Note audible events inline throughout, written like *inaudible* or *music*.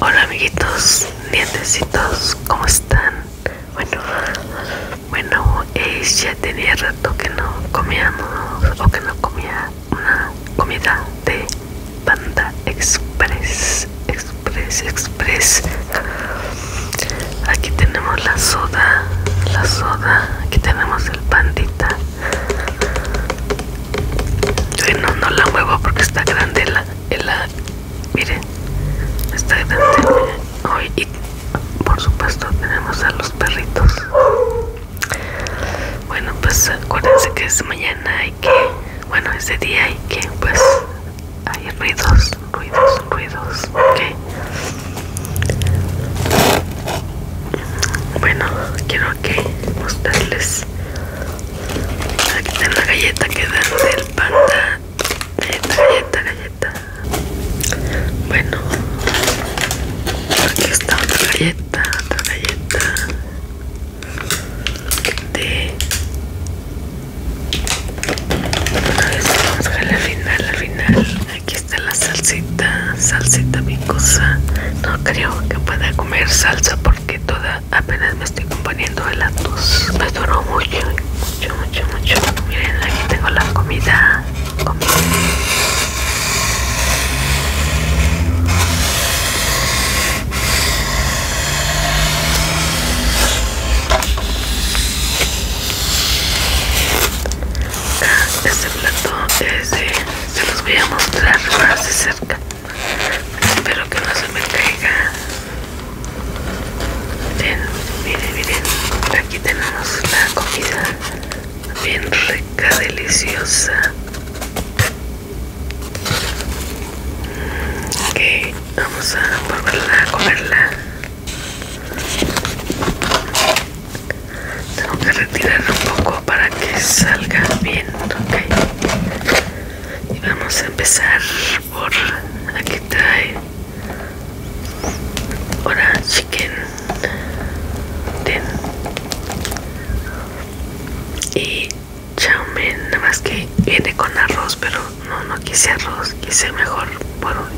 Hola amiguitos, dientecitos, ¿cómo están? Bueno, bueno, es eh, ya tenía rato que no comíamos o que no comía una comida de Panda Express, Express, Express. Aquí tenemos la soda, la soda, aquí tenemos el pandita, no, no la muevo porque está grande la, la miren, está grande. Hoy y por supuesto tenemos a los perritos. Bueno, pues acuérdense que es mañana y que, bueno, ese día y que pues hay ruidos, ruidos, ruidos, ok. Bueno, quiero que mostrarles Aquí está la galleta que dan del panda. Galleta, galleta, galleta. Bueno, aquí está otra galleta, otra galleta de. ver si vamos a la final, al final. Aquí está la salsita, salsita mi cosa, No creo que pueda comer salsa porque toda apenas me estoy componiendo de la tos me duró mucho mucho mucho mucho miren aquí tengo la comida comida este plato es de, se los voy a mostrar más de cerca espero que no se me caiga miren, miren, miren aquí tenemos la comida bien rica, deliciosa mm, ok, vamos a volverla a comerla tengo que retirarla un poco para que salga bien, ok y vamos a empezar por aquí trae ahora chicken ten y chaumen, nada más que viene con arroz pero no no quise arroz quise mejor por un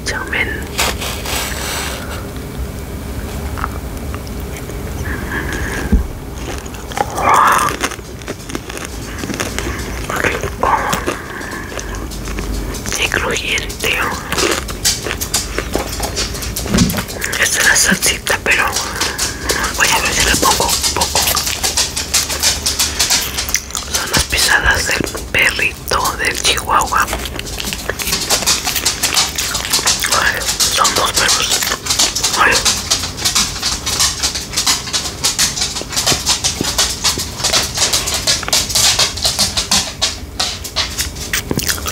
rico y crujiente esta es la salsita pero voy a ver si le pongo poco son las pisadas del perrito del chihuahua son dos perros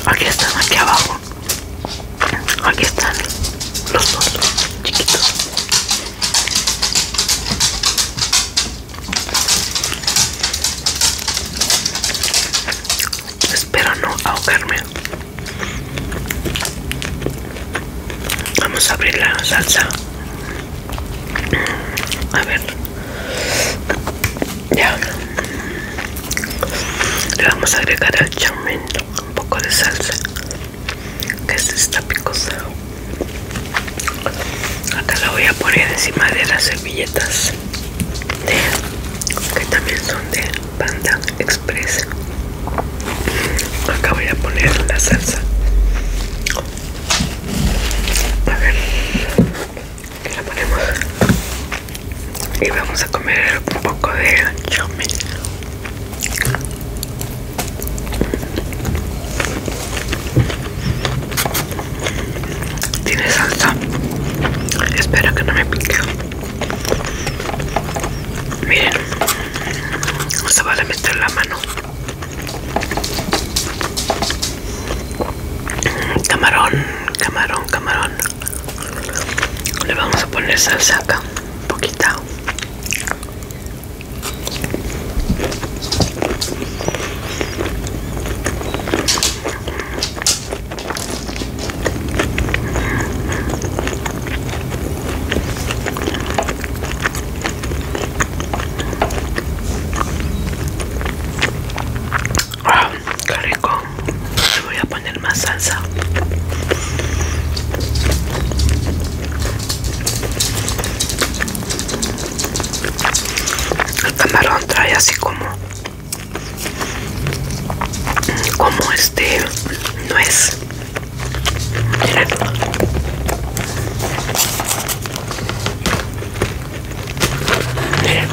Aquí están, aquí abajo. Aquí están los dos chiquitos. Espero no ahogarme. Vamos a abrir la salsa. A ver. Ya. Le vamos a agregar al chamento un poco de salsa. Que es esta picosa. Acá la voy a poner encima de las servilletas. que también son de Panda Express. Acá voy a poner la salsa. A ver, Que la ponemos? Y vamos a comer un poco de chomi. Tiene salsa. Espero que no me pique. Miren, se vale meter la mano. Camarón, camarón, camarón. Le vamos a poner salsa acá, poquita. Ah, qué rico. voy a poner más salsa. El camarón trae así como como este no es Miren,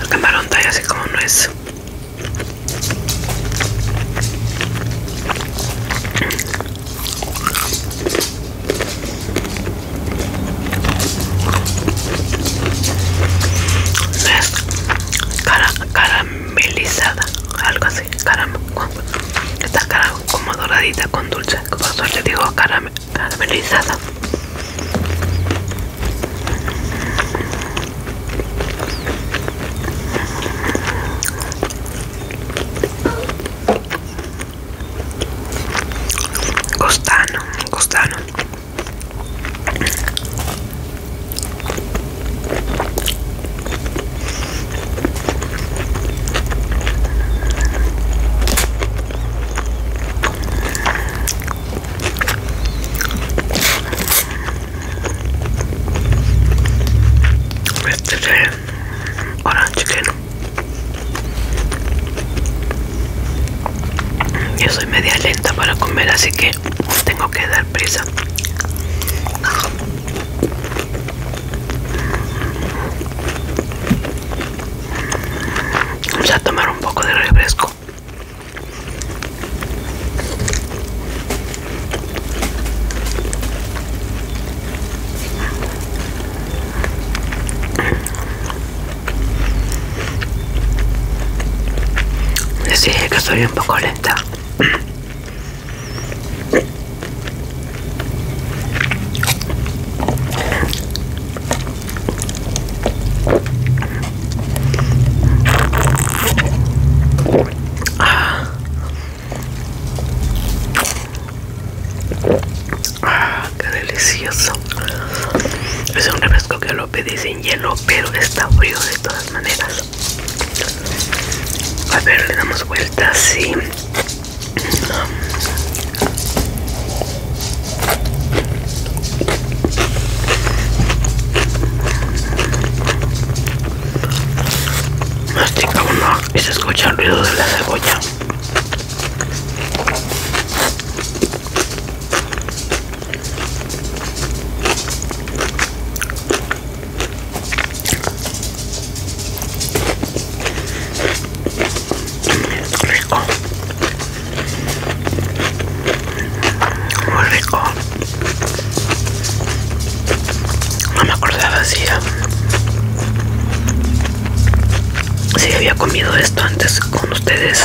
el camarón está así como no es. No es cara, caramelizada, algo así caramelo está cara como doradita con dulce, como le digo caramel, caramelizada. Costano, costano y este Yo soy media lenta para comer, así que tengo que dar prisa. Vamos a tomar un poco de refresco. Les dije que soy un poco lenta. Ah, qué delicioso. Es un refresco que lo pedí en hielo, pero está frío de todas maneras. A ver, le damos vuelta así. Mastica uno y se escucha el ruido de la cebolla rico muy rico no me acordaba si um, si había comido esto antes con ustedes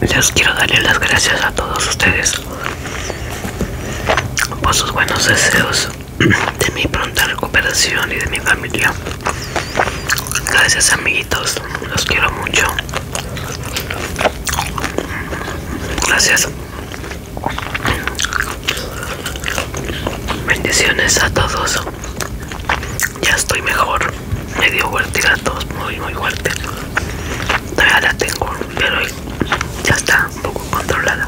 Les quiero darle las gracias a todos ustedes por sus buenos deseos de mi pronta recuperación y de mi familia. Gracias amiguitos, los quiero mucho. Gracias. Bendiciones a todos. Ya estoy mejor. medio dio muy, muy fuerte. Todavía la tengo, pero ya está un poco controlada.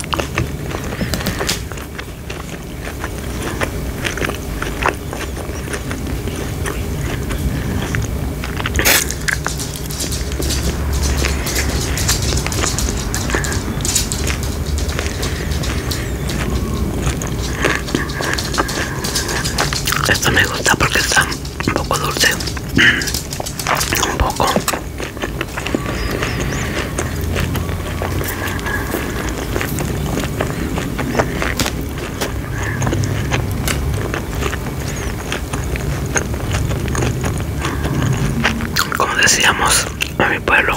Esto me gusta porque está un poco dulce. Un poco. Como decíamos a mi pueblo,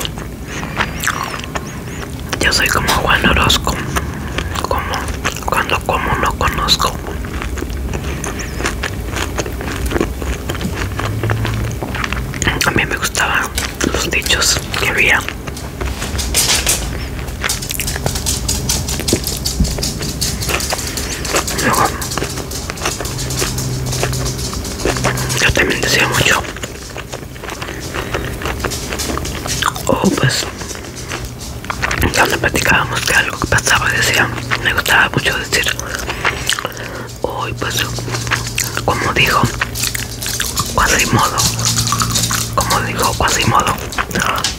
yo soy como Juan Orozco, como cuando como no conozco. A mí me gustaban los dichos que había. yo también decía mucho oh pues cuando platicábamos que algo que pasaba decía me gustaba mucho decir hoy pues como dijo modo como dijo modo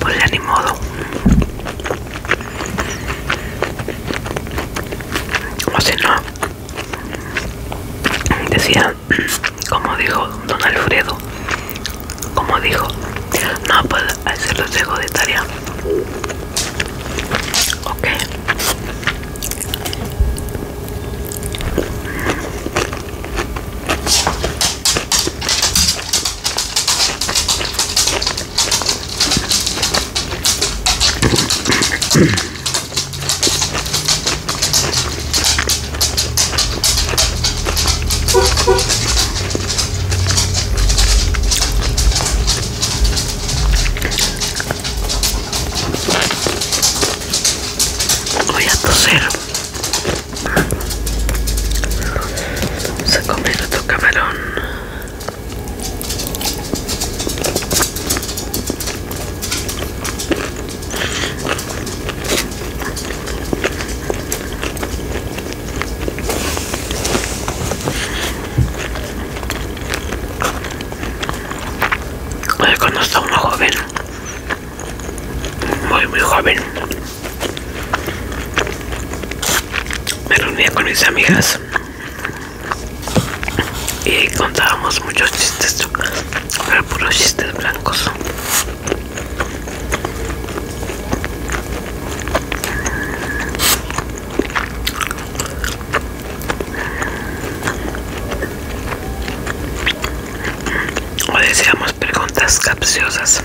pues ya ni modo o si no decía como dijo don Alfredo, como dijo, no puedo hacer los de tarea. Ok. Voy a toser. Se comer otro camarón. Cuando estaba una joven, muy muy joven, me reunía con mis amigas y contábamos muchos chistes, pero puros chistes blancos. O decíamos preguntas capciosas.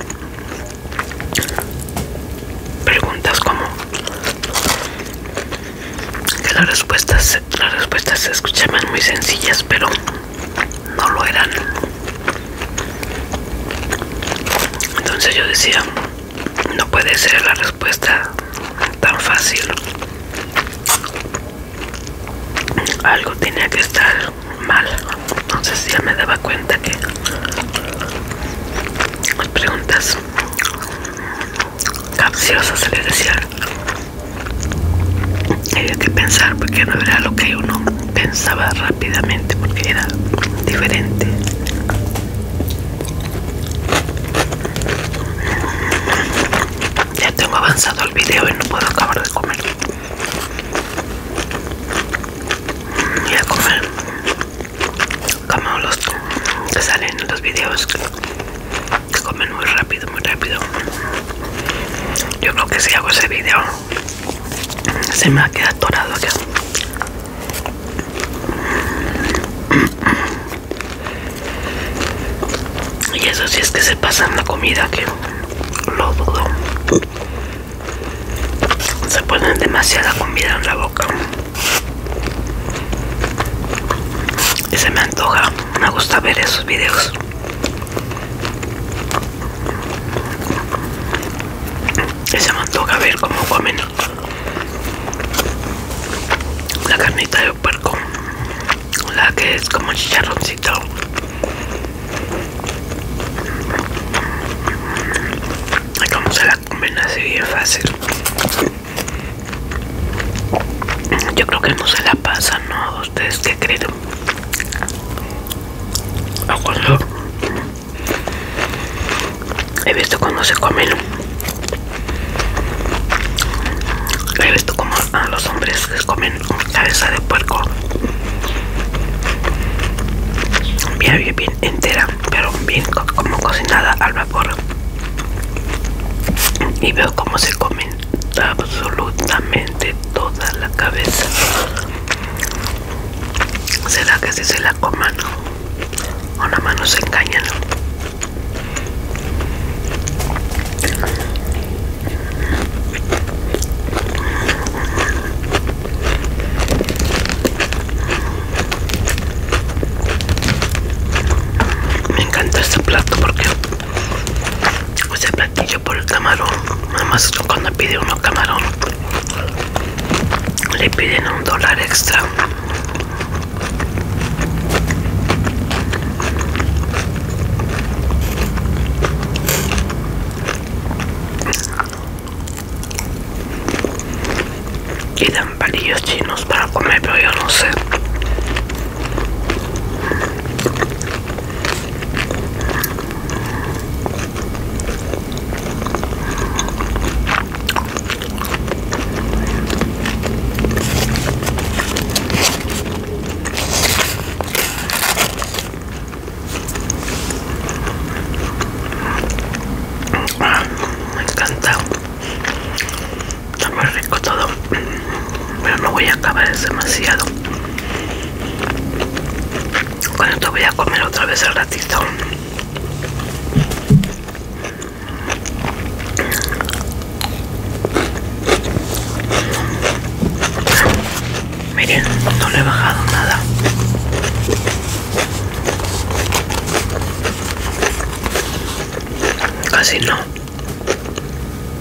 Preguntas como que las respuestas, las respuestas se escuchaban muy sencillas, pero no lo eran. Entonces yo decía, no puede ser la respuesta tan fácil. Algo tenía que estar mal. Entonces ya me daba cuenta que las preguntas capciosas se le decían había que pensar porque no era lo que uno pensaba rápidamente porque era diferente ya tengo avanzado el video y no puedo acabar de comer voy a comer como los que salen en los videos que comen muy rápido muy rápido yo creo que si hago ese video se me va a quedar atorado Y eso sí es que se pasa en la comida que lo dudo. Se ponen demasiada comida en la boca. Y se me antoja. Me gusta ver esos videos se me toca ver cómo menos. la carnita de puerco, la que es como chicharroncito. vamos cómo se la comen así bien fácil. Yo creo que no se la pasan, ¿no? ¿Ustedes qué creen? he visto cuando se comen he visto como los hombres les comen cabeza de puerco bien, bien entera pero bien como cocinada al vapor y veo cómo se comen absolutamente toda la cabeza. ¿Será que si se la coman o nada mano se engañan? Me encanta este plato porque y yo por el camarón. Nada más cuando pide uno camarón, le piden un dólar extra. Y dan palillos chinos para comer, pero yo no sé me encanta está muy rico todo pero no voy a acabar es demasiado bueno, esto voy a comer otra vez el ratito. Miren, no le he bajado nada. Casi no.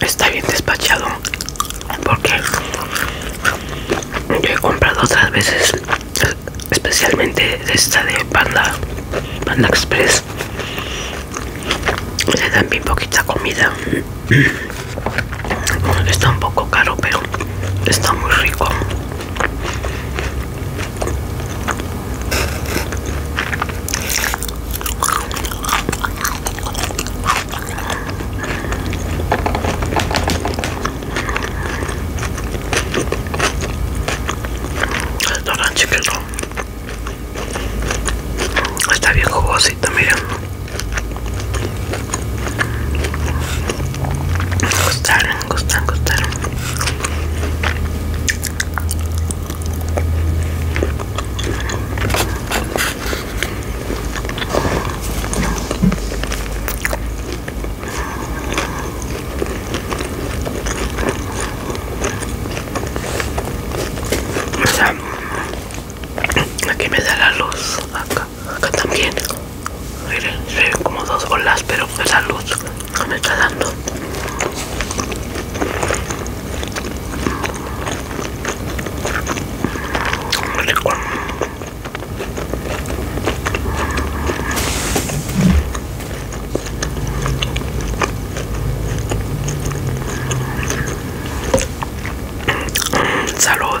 Está bien despachado porque yo he comprado otras veces, especialmente esta de Panda, Panda Express. Le dan bien poquita comida. Está un poco caro, pero está muy rico. No tan chiquito. Está bien jugosito, mira. Está gustan, gustan, O sea, aquí me da la luz, acá, acá también. Miren, se como dos olas, pero es pues la luz que me está dando. Salud.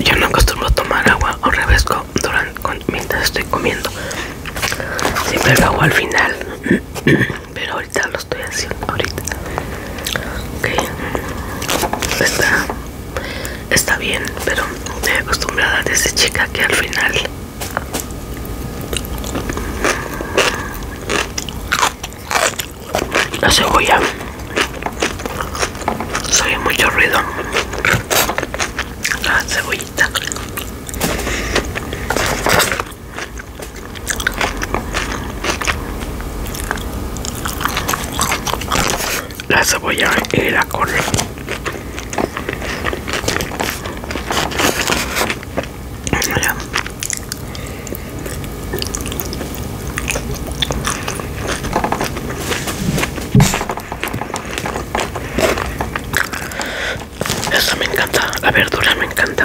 Yo no acostumbro tomar agua o revesco durante, mientras estoy comiendo. Siempre lo hago al final. *clears throat* Pero ahorita lo estoy haciendo. Ahorita. Está, está bien, pero estoy acostumbrada desde chica que al final la cebolla soy mucho ruido la cebollita la cebolla y la cola eso me encanta, la verdura me encanta.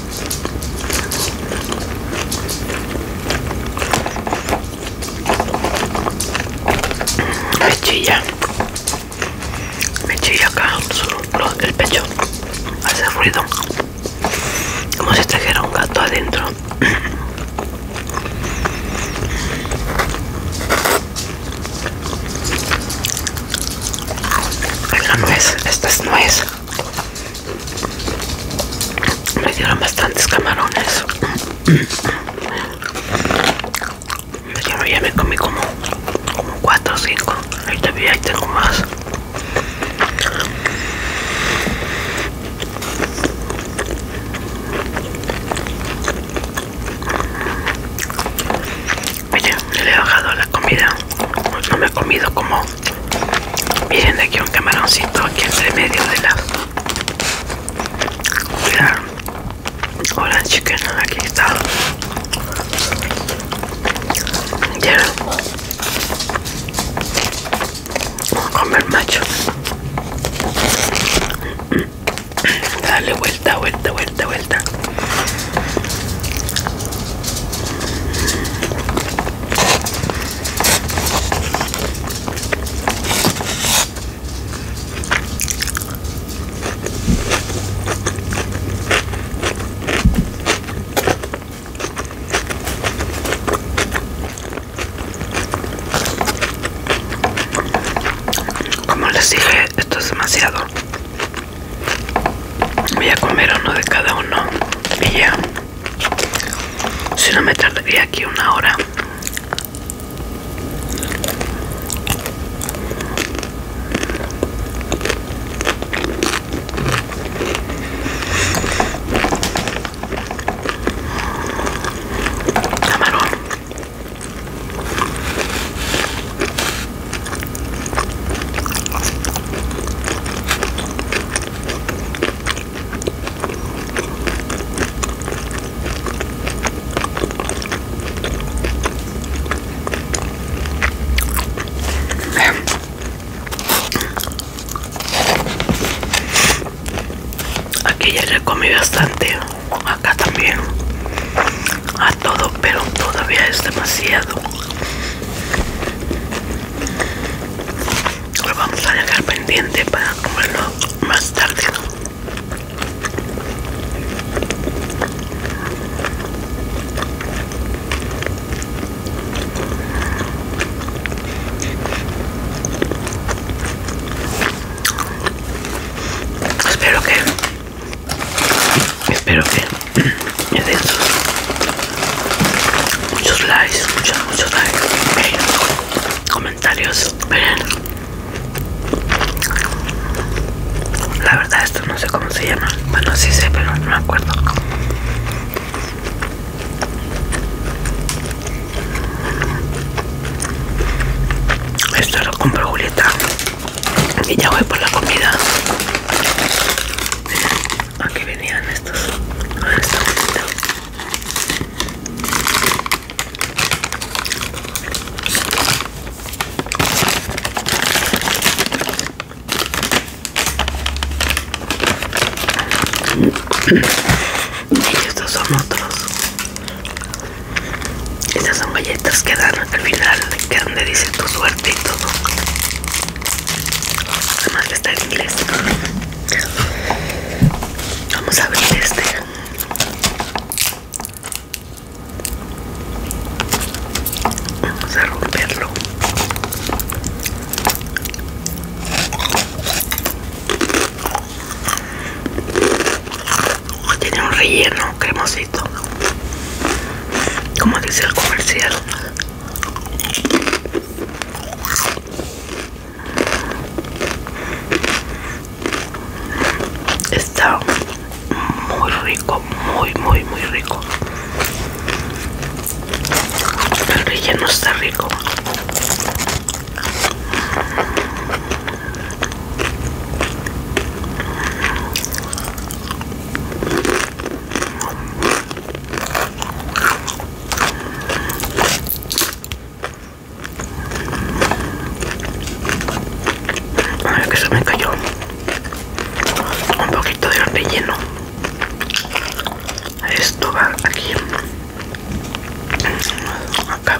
Me chilla, me chilla acá el pecho, hace ruido, como si trajera un gato adentro. La *clears throat* es esta es me dieron bastantes camarones ya me comí como como 4 o 5 ahí tengo más Oye le he bajado la comida, no me he comido como Miren aquí un camaroncito aquí entre medio de la, Hola Hola chicken, aquí está. Ya vamos a comer macho. Dale vuelta, vuelta, vuelta, vuelta. Como les dije, esto es demasiado. Voy a comer uno de cada uno y ya. Si no me tardaría aquí una hora. Aquí ya le comí bastante, acá también, a todo, pero todavía es demasiado lo vamos a dejar pendiente para comerlo más tarde espero que espero que *clears throat* me den muchos likes, muchos, muchos likes, comentarios, la verdad esto no sé cómo se llama, bueno sí sé pero no me acuerdo. Esto lo compro Julieta y ya voy por la comida. Aquí venían estos. Ahora Y estos son otros. Estas son galletas que dan al final, que donde dice tu suerte y todo. Además que está en inglés. Vamos a ver este. Vamos a romperlo. Tiene un relleno cremosito, como dice el comercial. Está muy rico, muy, muy, muy rico. El no está rico ver que se me cayó un poquito de relleno. Esto va aquí. Acá.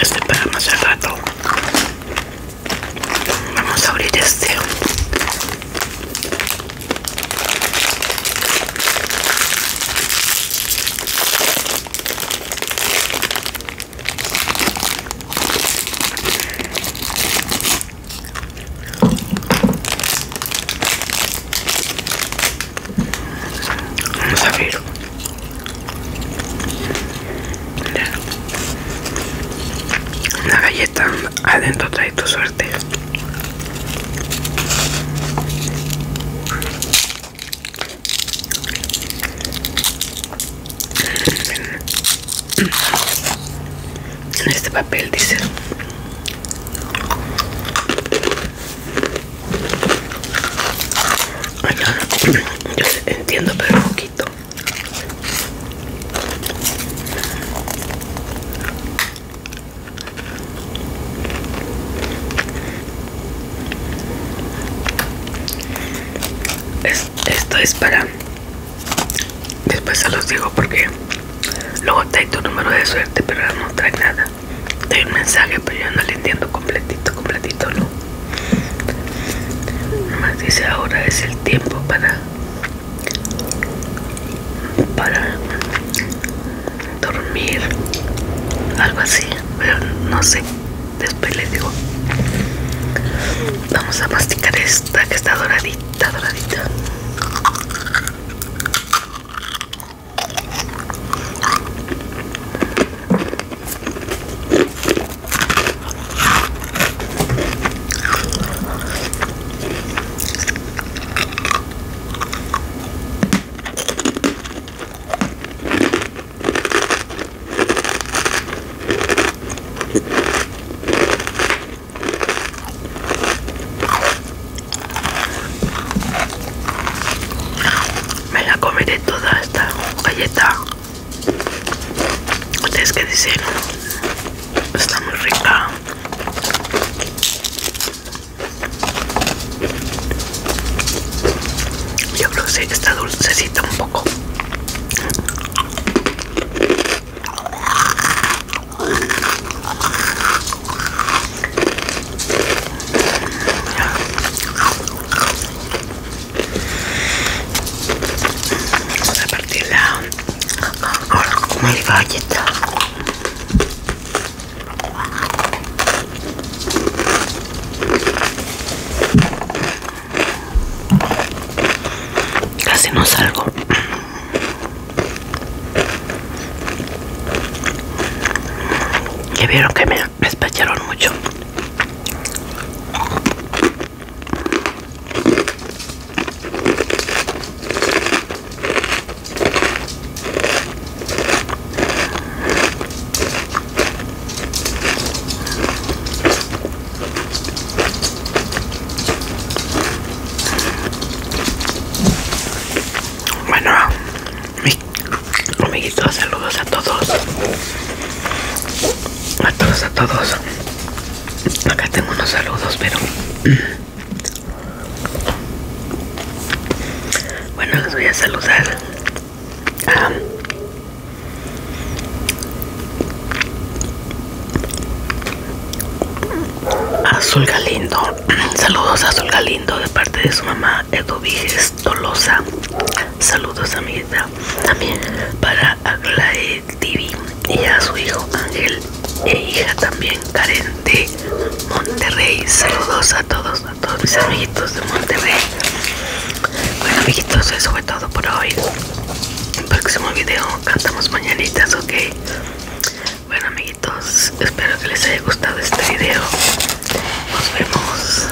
este para más al rato vamos a abrir este Vamos a abrir una galleta adentro trae tu suerte. En este papel dice yo entiendo, pero poquito. esto es para después se los digo porque luego trae tu número de suerte pero no trae nada trae un mensaje pero yo no le entiendo completito completito no más dice ahora es el tiempo para para dormir algo así pero no sé después les digo vamos a masticar esta que está doradita doradita me la comeré todas galleta ustedes que dicen está muy rica yo sé está dulcecita un poco Vamos a partirla ahora como el galleta. Casi no salgo. ¿Qué vieron que me me despacharon mucho bueno amiguitos saludos a todos a todos a todos acá tengo unos saludos pero bueno les voy a saludar a Azul Galindo, *clears throat* saludos a Azul Galindo de parte de su mamá Edubiges Tolosa Saludos amiguita También para Aglae TV Y a su hijo Ángel E hija también Karen de Monterrey Saludos a todos, a todos mis amiguitos de Monterrey Bueno amiguitos, eso fue todo por hoy el próximo video cantamos mañanitas, ok Bueno amiguitos, espero que les haya gustado este video nos vemos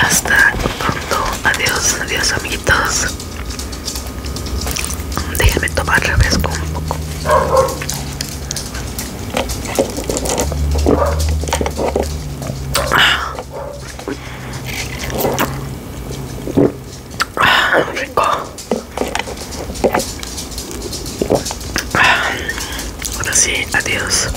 hasta pronto adiós adiós amiguitos Déjame tomar con un poco ah, ah, rico ah. ahora sí adiós